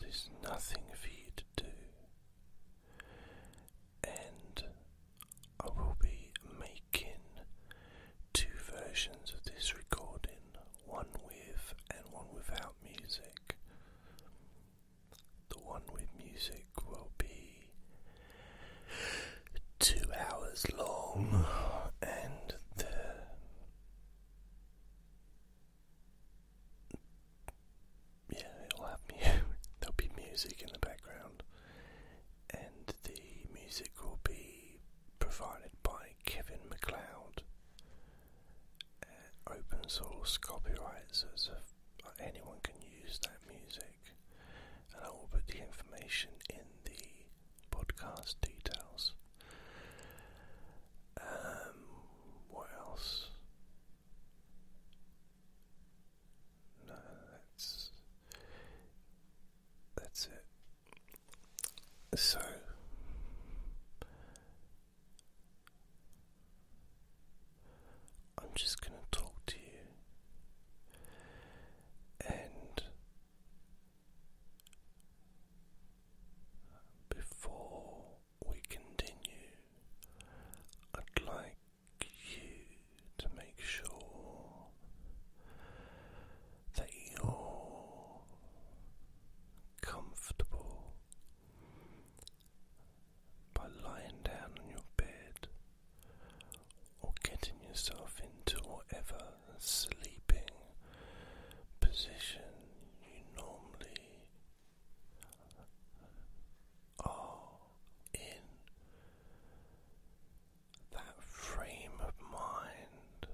there's nothing for you to do, and I will be making two versions of this recording one with and one without music. The one with music will be two hours long, and the yeah, it'll have me. There'll be music in the background, and the music will be provided by Kevin McLeod. Uh, open source copyright, so a, anyone can use that music, and I will put the information in the podcast details. Um, what else? No, that's that's it. So. I'm just going to talk to you and before we continue, I'd like you to make sure that you're comfortable by lying down on your bed or getting yourself into whatever sleeping position you normally are in. That frame of mind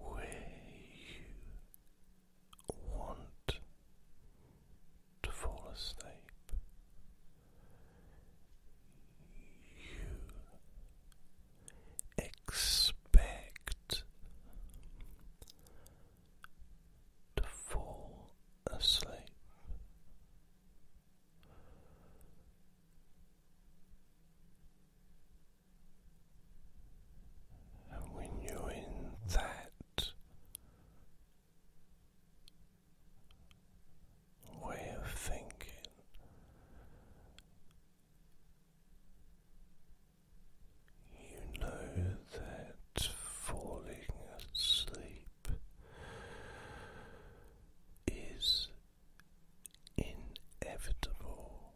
where you want to fall asleep, you expect to fall asleep. And when you're in that way of thinking. You know that falling asleep is inevitable.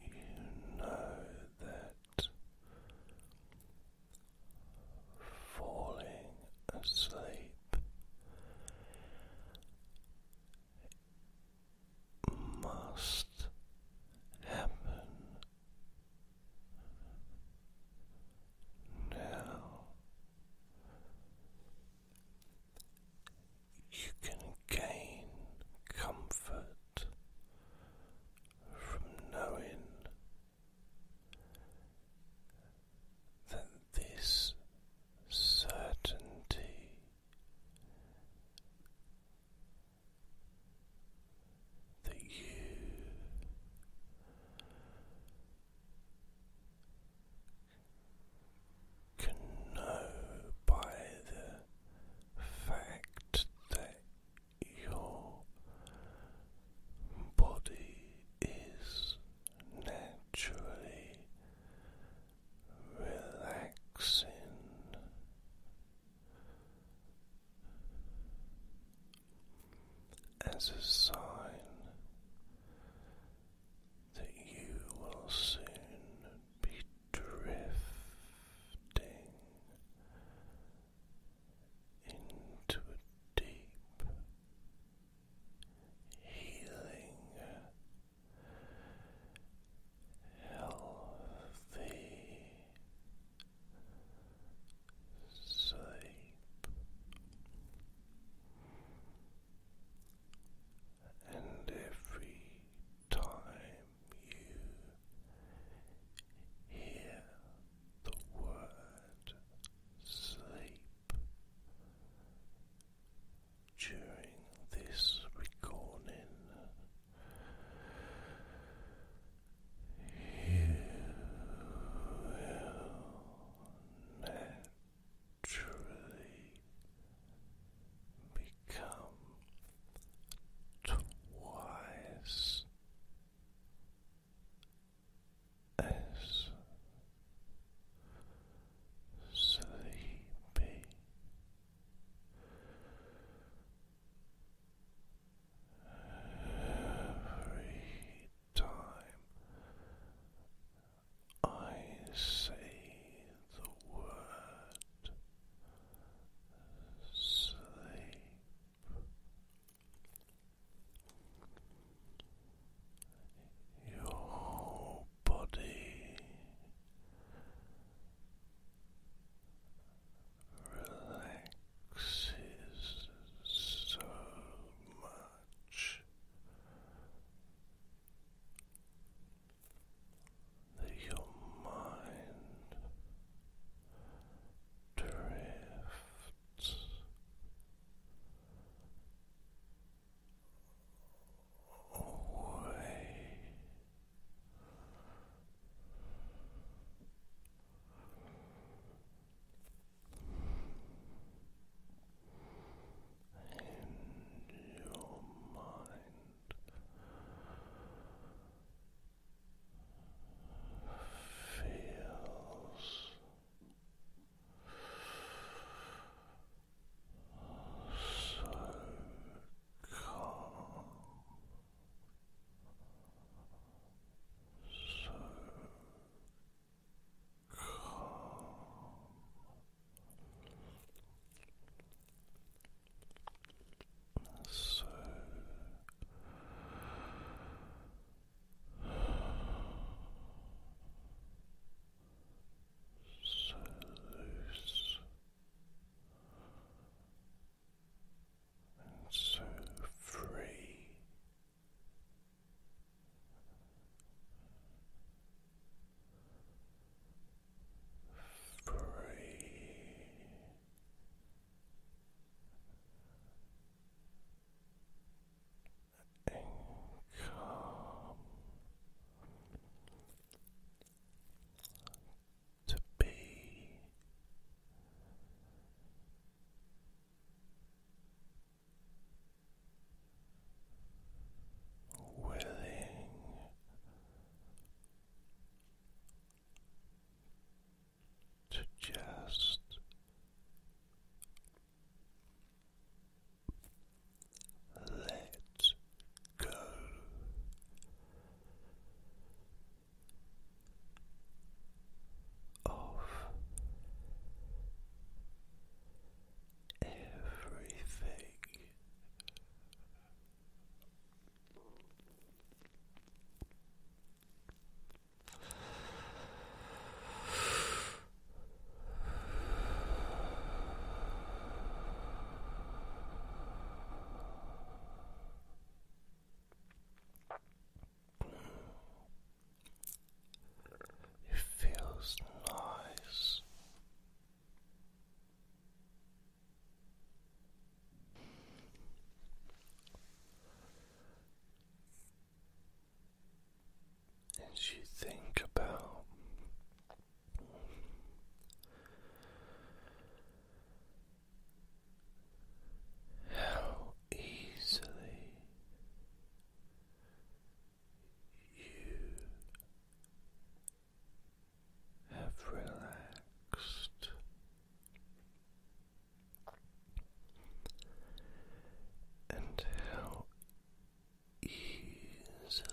You know that falling asleep must happen now. You can gain comfort from knowing that this certainty that you can know by the fact that your body is naturally relaxing. As a sign that you will soon be drifting into a deep healing healthy sleep and every time you hear the word sleep during this recording, you will naturally become twice as sleepy. Every time I say the word sleep. Your body relaxes so much that your mind drifts away. And your mind feels so calm, so calm. So so loose and so free free. And calm to be willing to just let go. Of everything it feels nice as you think about how easily you have relaxed. And how easily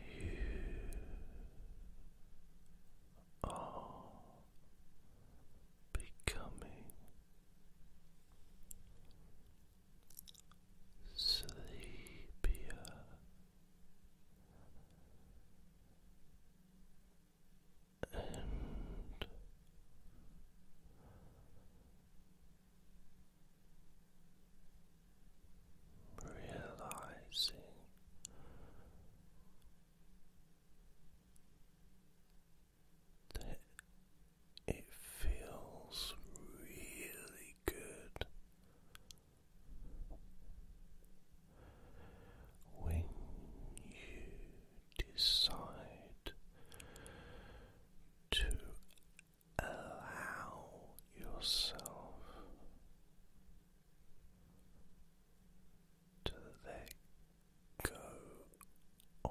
you are becoming sleepier. And realizing it feels really good when you decide to allow yourself to let go of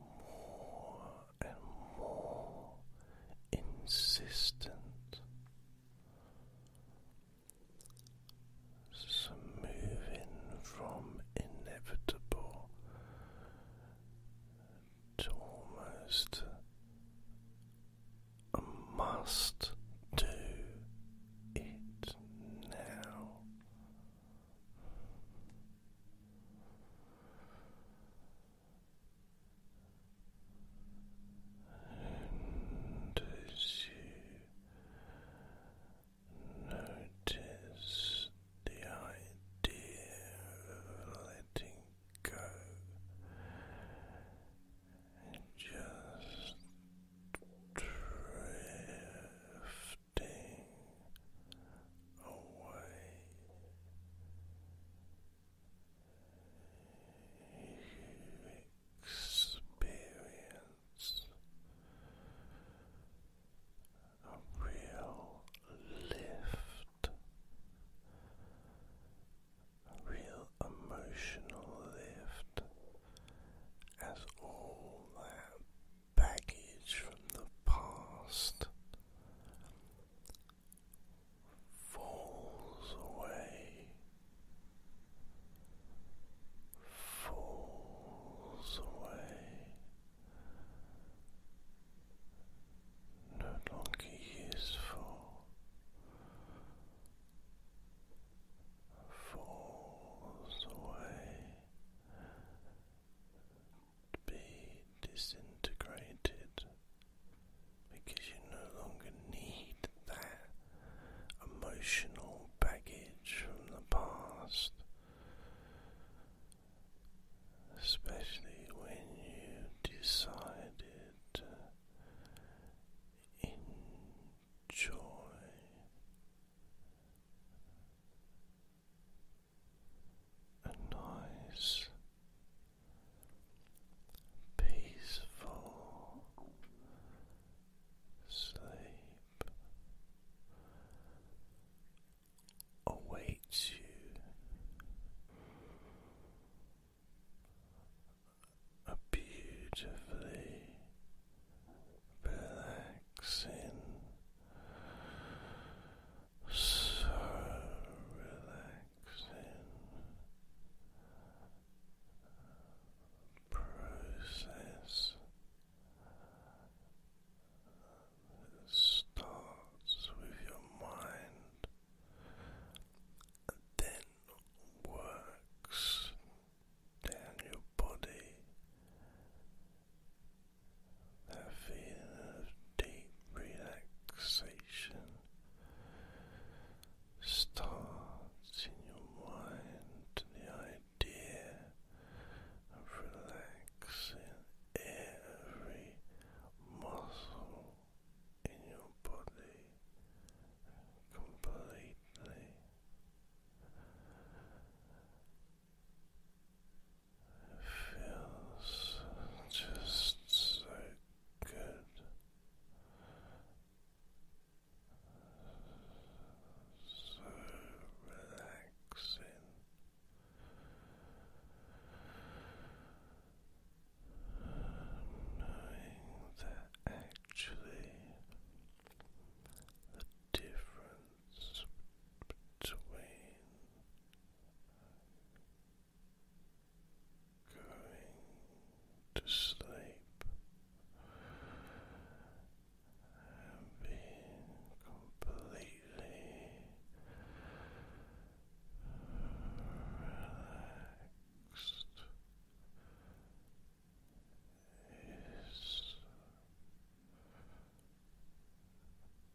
more and more insistent. moving from inevitable to almost a must do it now. And as you notice the idea of letting go, and just drifting away. You a real lift, a real emotional lift as all that baggage from the past falls away, falls away, no longer useful, falls away be disintegrated because you no longer need that emotional baggage from the past, especially when you decided to enjoy a nice, peaceful sleep awaits you. A beautifully relaxing so relaxing process starts with your mind then works down your body that feeling of deep relaxation starts in your mind to the idea of relaxing every muscle in your body completely feels just so good. So relaxing. Knowing that actually the difference difference between going to sleep and being completely relaxed is Feeling and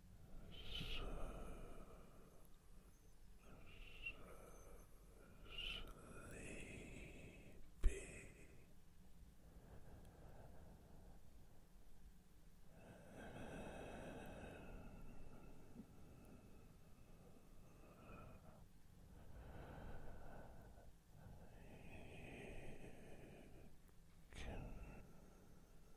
can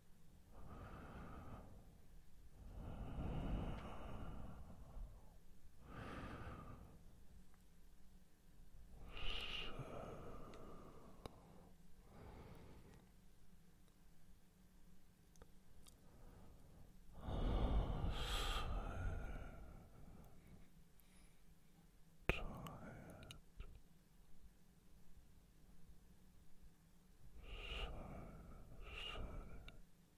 tired so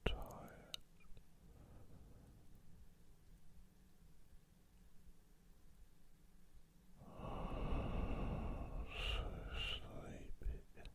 tired. Oh, so sleepy. Drifting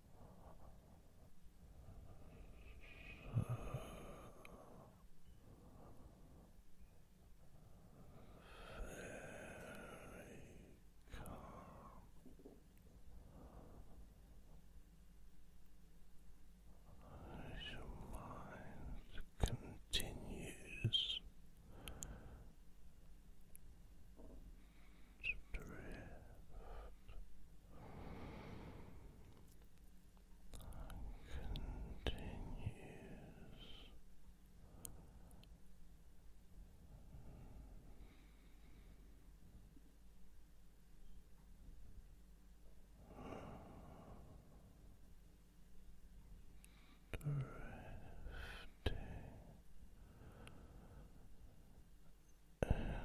as your mind continues to drift continues drifting and sleeping.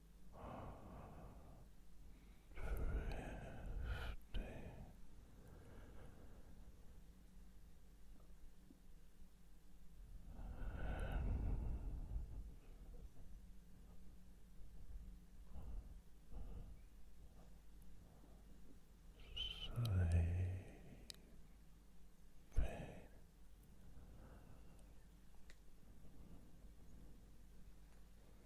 Sleeping.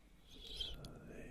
sleeping. Drifting.